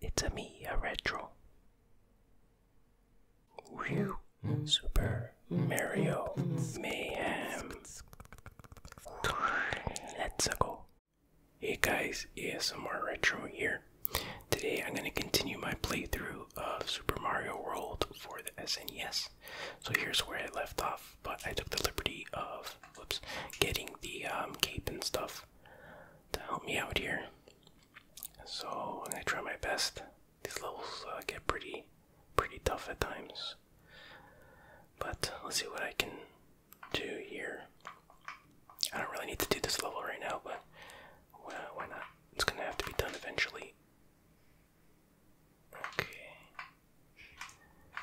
It's a me, a retro. Super Mario Mayhem. Let's go. Hey guys, ASMR Retro here. Today I'm going to continue my playthrough of Super Mario World for the SNES. So here's where I left off, but I took the liberty of, whoops, getting the um, cape and stuff to help me out here. So i try my best. These levels uh, get pretty, pretty tough at times. But let's see what I can do here. I don't really need to do this level right now, but why not? It's gonna have to be done eventually. Okay.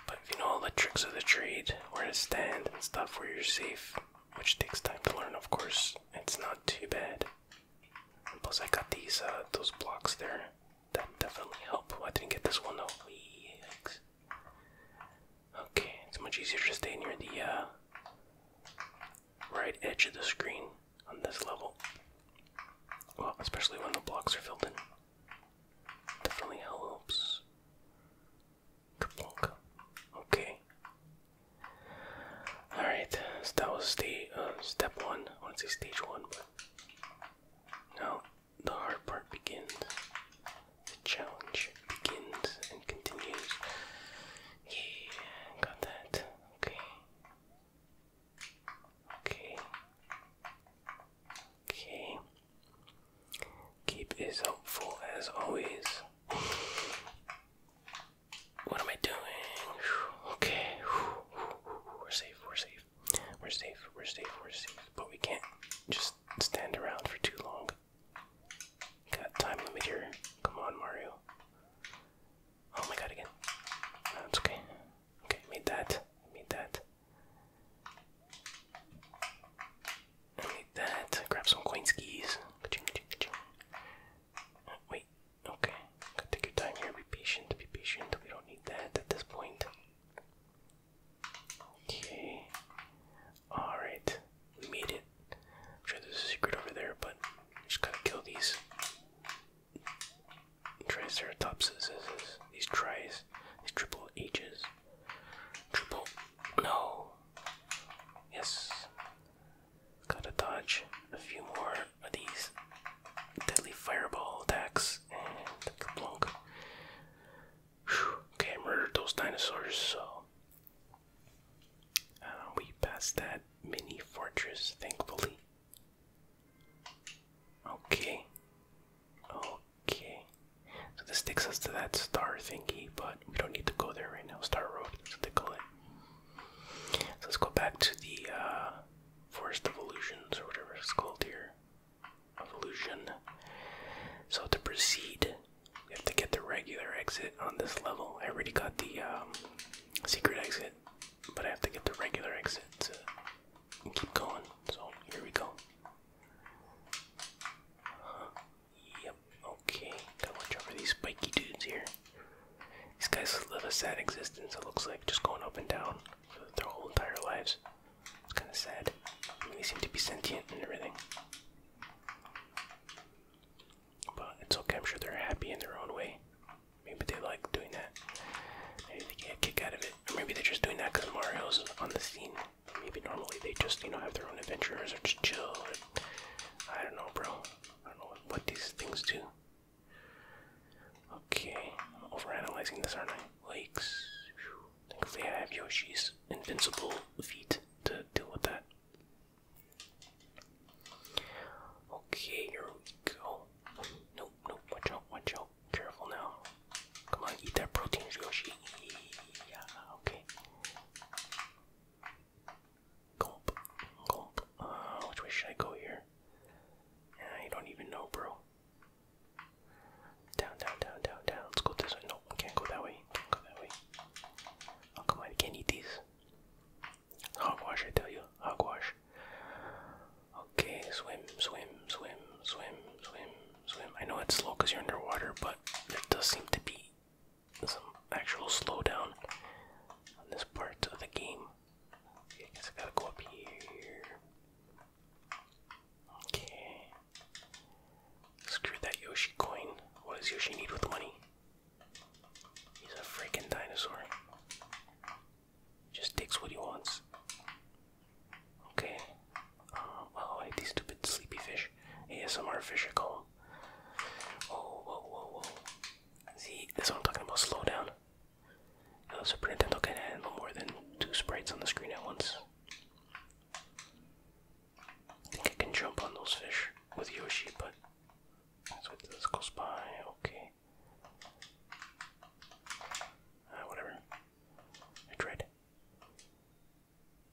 But if you know all the tricks of the trade, where to stand and stuff where you're safe, which takes time to learn, of course, it's not too bad. plus, I got these uh, those blocks there that definitely help. Oh, I didn't get this one though. Okay, it's much easier to stay near the uh, right edge of the screen on this level. Well, especially when the blocks are filled in. Definitely helps. Okay. Alright, so that was the um, step one. I want to say stage one, now the hard part begins. The challenge begins and continues. Yeah, got that. Okay. Okay. Okay. Keep is helpful as always. What am I doing? Okay. We're safe, we're safe. We're safe, we're safe, we're safe. But we can't just stand around for too long. Got time limit here. Come on, Mario. Oh my god, again. That's okay. Okay, made that. Made that. I need that. Grab some coin skis. Wait, okay. Gotta take your time here. Be patient, be patient. We don't need that at this point. Okay. Alright. We made it. I'm sure there's a secret over there, but just gotta kill these triceratopses. These tries. These triple H's. Triple. No. Yes. Gotta dodge a few more of these deadly fireball attacks Okay, murdered those dinosaurs, so. Uh, we passed that mini fortress, thankfully. Okay. Oh, Okay. So this takes us to that star thingy, but we don't need to go there right now. Star Road, that's what they it. So let's go back to the uh, Forest of Illusions or whatever it's called here. Evolution. So to proceed, we have to get the regular exit on this level. I already got the um, secret exit, but I have to get the regular exit to keep going. So here we go yep, okay. Gotta watch over these spiky dudes here. These guys live a sad existence, it looks like, just going up and down for their whole entire lives. It's kinda sad. I mean, they seem to be sentient and everything. But it's okay, I'm sure they're happy in their own way. Maybe they like doing that. Maybe they get a kick out of it. Or maybe they're just doing that because Mario's on the scene. Maybe normally they just, you know, have their own adventures or just chill. I don't know, bro. I don't know what, these things do. Okay, I'm overanalyzing this, aren't I? Lakes. Thankfully, I have Yoshi's invincible feet to deal with that. Okay, here we go. Nope, nope, watch out, watch out careful, careful now. Come on, eat that protein, Yoshi. Yeah, okay. Gulp, gulp. Uh, which way should I go here? I don't even know, bro. Down, down, down, down, down. Let's go this way. No, I can't go that way. Can't go that way. Oh, come on, I can't eat these. Hogwash, I tell you. Hogwash. Okay, swim, swim, swim, swim, swim, swim. I know it's slow because you're underwater, but it does seem to be some actual slowdown on this part of the game. Okay, I guess I gotta go up here. Okay. Screw that Yoshi coin. What does Yoshi need with money? He's a freaking dinosaur. Just takes what he wants. Okay. Um, oh, I hate these stupid sleepy fish. ASMR fish are calm. Oh, whoa, whoa, whoa. See, that's what I'm talking about. Slow down. The Super Nintendo can handle more than two sprites on the screen at once. I think I can jump on those fish with Yoshi, but that's what this goes by. Okay okay. Uh, whatever. It's red.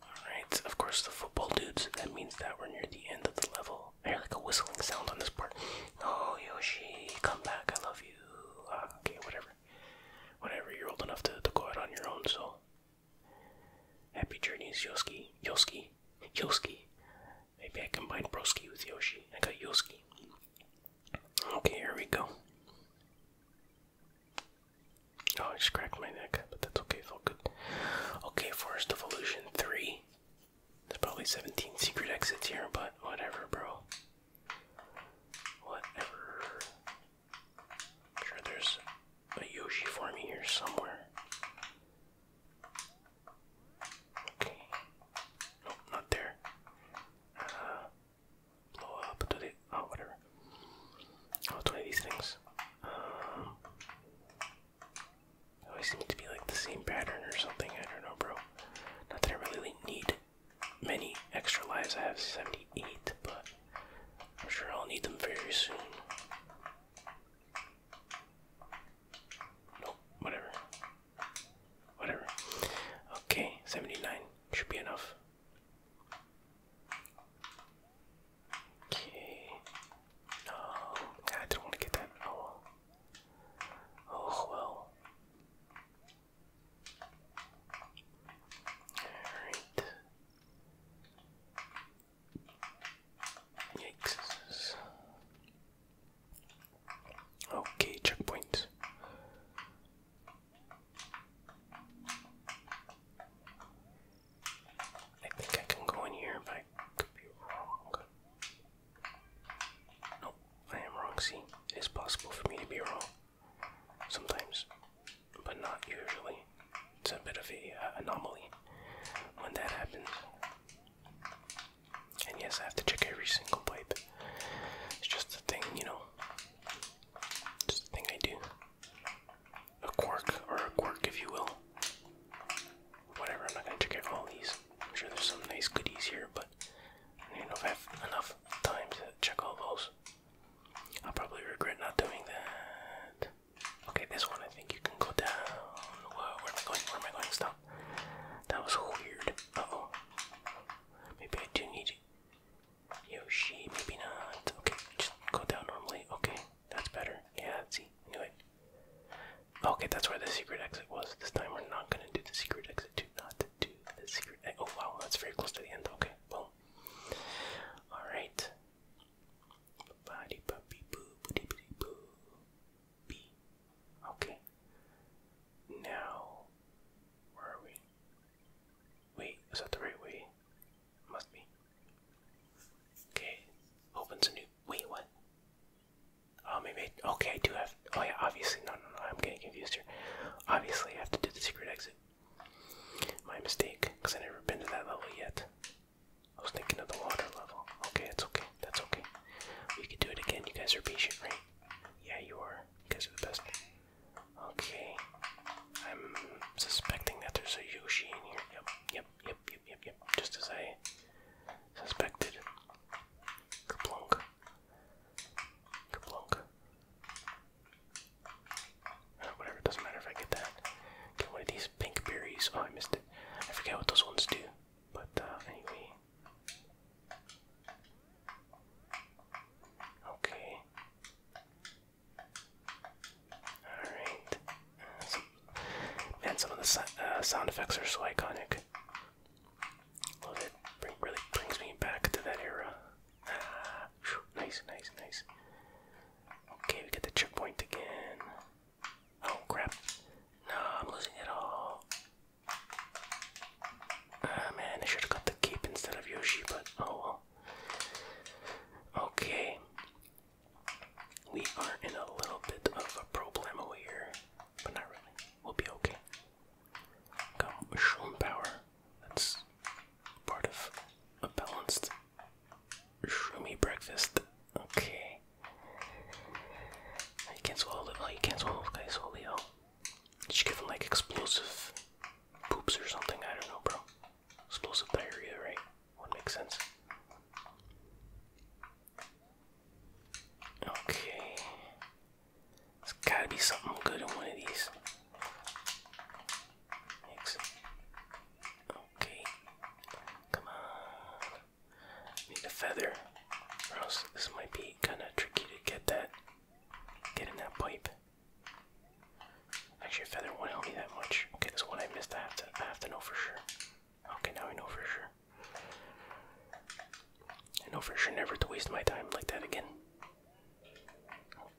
Alright, of course, the football dudes. That means that we're near the end of the level. I hear like a whistling sound on this part. No, oh, Yoshi, come back. I love you. Ah, okay, whatever. Whatever, you're old enough to, go out on your own, so. Happy journeys, Yoski. Yoski. Yoski. Maybe I combine Brosky with Yoshi. I got Yoski. Okay, here we go. Oh, I just cracked my neck, but that's okay, felt good. Okay, Forest of 3. There's probably 17 secret exits here, but whatever, bro. Whatever. I'm sure there's a Yoshi for me here somewhere. Okay. Nope, not there. Uh, blow up to oh whatever. Oh, it's one these things. Um, uh, it always seem to be like the same pattern or something. I don't know, bro. Not that I really need many extra lives. I have 78, but I'm sure I'll need them very soon. Nope, whatever. Whatever. Okay, 79 should be enough. Okay. No, I don't want to get that. Oh Oh well. Alright. Yikes. Okay, checkpoint. I think I can go in here, but could be wrong. Nope, I am wrong. See, it is possible for me to be wrong sometimes, but not usually. It's a bit of a uh, anomaly when that happens. And yes, I have to check every single pipe. It's just a thing, you know. Just a thing I do. A quirk, or a quirk, if you will. Whatever, I'm not gonna check all these. I'm sure there's some nice goodies here, but I don't know if I have enough time to check all those. I'll probably regret not doing that. Okay, this one I think you can go down. Whoa, where am I going? Where am I going? Stop. That was weird. oh. Maybe I do need Yoshi. Maybe not. Okay, just go down normally. Okay, that's better. Yeah, let's see. Anyway. Okay, that's where the secret exit was. This time we're not gonna do the secret exit. Do not do the secret exit. Oh wow, that's very close to the end. Okay, boom. Alright. B. Okay. Now, where are we? Wait, is that the right way? Must be. Okay, opens a new. Wait, what? Oh, maybe. I, okay, do have. Oh, yeah, obviously. No, no, no, I'm getting confused here. Obviously, I have to do the secret exit. My mistake, because i never been to that level yet. I was thinking of the water level. Okay, that's okay. That's okay. We can do it again. You guys are patient, right? Yeah, you are. You guys are the best. Okay. I'm suspecting that there's a Yoshi in here. Yep, yep, yep, yep, yep, yep. Just as I suspected. Kaplunk. Kaplunk. Uh, whatever, doesn't matter if I get that. Get one of these pink berries. Oh, I missed it. I forget what those ones do. But uh, anyway. Okay. Alright. Uh, some of the uh, sound effects are so iconic. Love it. really brings me back to that era. Ah, nice, nice, nice. Okay, we get the checkpoint again. Oh crap. No, I'm losing it all. Ah man, I should have got the cape instead of Yoshi, but oh well. Okay. We are in a little bit of a problem over here, but not really. We'll be okay. Come, Shroom Power. That's part of a balanced shroomy breakfast. Okay. You can't swallow it. Oh, you can't swallow it. Oh, okay, swallow it. Oh. Just give him like explosive poops or something. I don't know, bro. Explosive diarrhea, right? Would make sense. Okay. There's gotta be something good in one of these. Excellent. Okay. Come on. Need a feather, or else this might be kind of tricky to get that, get in that pipe. Actually, a feather won't help me that much. Okay, this one I missed. I have to, I have to know for sure. Okay, now I know for sure. I know for sure never to waste my time like that again.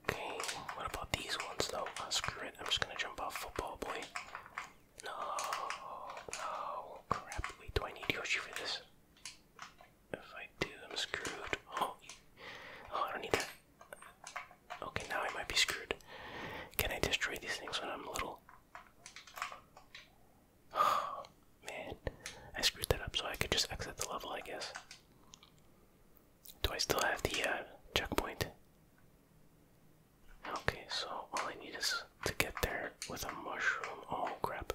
Okay, what about these ones though? Oh, screw it, I'm just gonna jump off football boy. No, no, crap. Wait, do I need Yoshi for this? If I do, I'm screwed. Oh, I don't need that. Okay, now I might be screwed. Can I destroy these things when I'm little? Oh, man. I screwed that up so I could just exit the level, I guess. Do I still have the uh, checkpoint? Okay, so all I need is to get there with a mushroom. Oh crap.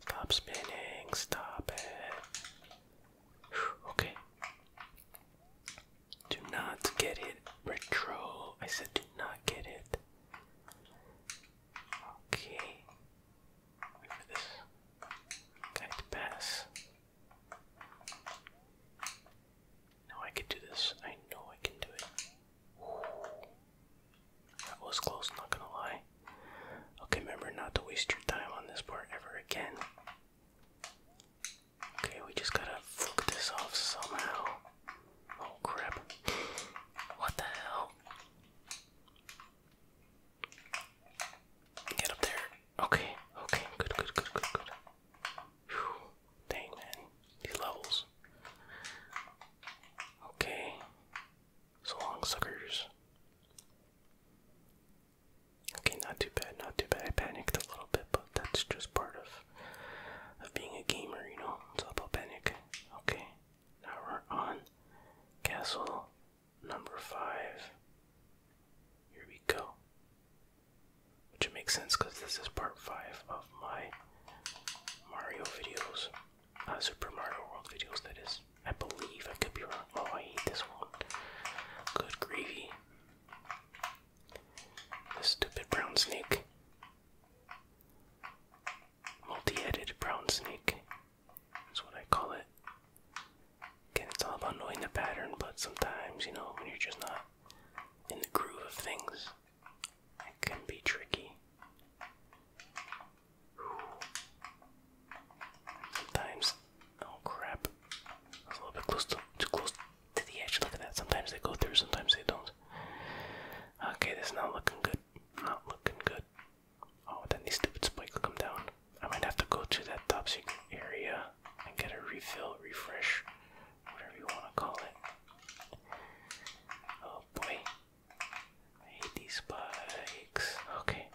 Stop spinning, stop it. okay. Do not get it retro. I said do not get it. Okay. Wait for this guy to pass. Now I can do this. I know I can do it. Ooh. That was close, not gonna lie. Okay, remember not to waste your time on this part ever again. Okay, we just gotta flick this off somehow. Oh crap. What the hell? Get up there. Okay, okay, good, good, good, good, good. Whew. man, these levels. Okay. So long suckers. Okay, not too bad, not too bad. I panicked a little bit, but that's just part of of being a gamer, you know. It's all about panic. Okay. Now we're on castle number five. Here we go. Which makes sense because this is part 5 of my Mario videos. Uh, Super Mario World videos, that is. I believe, I could be wrong. Oh, I hate this one. Good gravy. This stupid brown snake. Multi headed brown snake. That's what I call it. Again, it's all about knowing the pattern, but sometimes, you know, when you're just not in the groove of things, it can be tricky. Sometimes, oh crap, I a little bit close to, too close to the edge. Look at that. Sometimes they go through, sometimes they don't. Okay, this is not looking good. Not looking good. Oh, then these stupid spikes come down. I might have to go to that top secret area and get a refill, refresh, whatever you want to call it. Oh boy. I hate these spikes. Okay.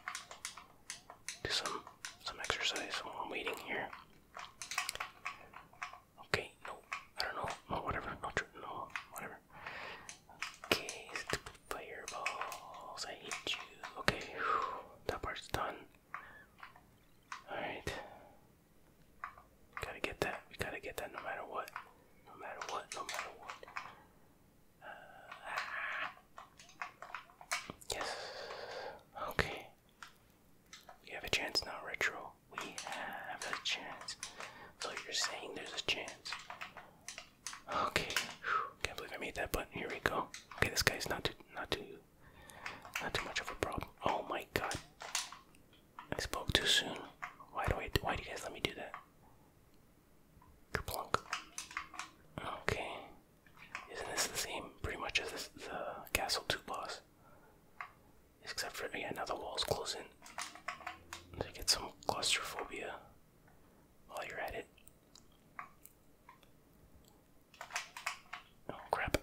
Do some some exercise while I'm waiting here. Okay, no, I don't know. No, whatever. No, no, whatever. Okay, stupid fireballs. I hate you. Okay, whew, that part's done. Alright. Gotta get that. We gotta get that no matter what. No matter what, no matter what. Uh, yes. Okay. We have a chance now, Retro. We have a chance. So you're saying there's a chance. Okay. Whew. Can't believe I made that, but here we go. Okay, this guy's not too not too not too much of a problem. Oh my god. I spoke too soon. Why do I why do you guys let me do that? Okay. Isn't this the same pretty much as the castle 2 boss? Except for yeah, now the walls close To get some claustrophobia while you're at it. Oh crap.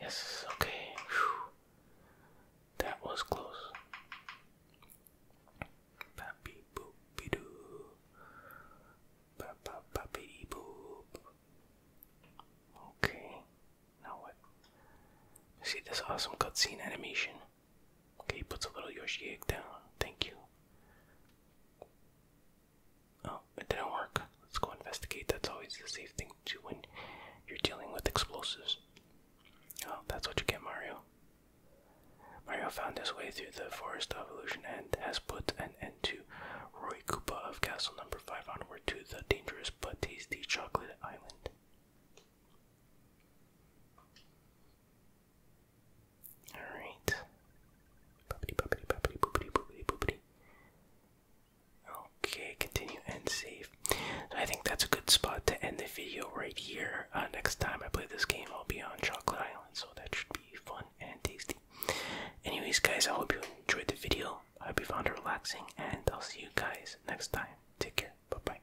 Yes, okay. That was close. Okay. Now what? See this awesome cutscene animation. Okay, he puts a little Yoshi egg down. Thank you. Oh, it didn't work. Let's go investigate. That's always the safe thing to do when you're dealing with explosives. Oh, that's what you get, Mario. Mario found his way through the Forest of Illusion and has put an end to Roy Koopa of Castle Number 5 onward to the dangerous but tasty Chocolate Island. Alright. Bubbity, bubbity, bubbity, boopity, boopity, boopity. Okay, continue and save. I think that's a good spot to end the video right here. Uh, next time I play this game, I'll be on Chocolate Island, so that should be fun and tasty. Anyways, guys, I hope you enjoyed the video. I hope you found it relaxing, and I'll see you guys next time. Take care. Bye bye.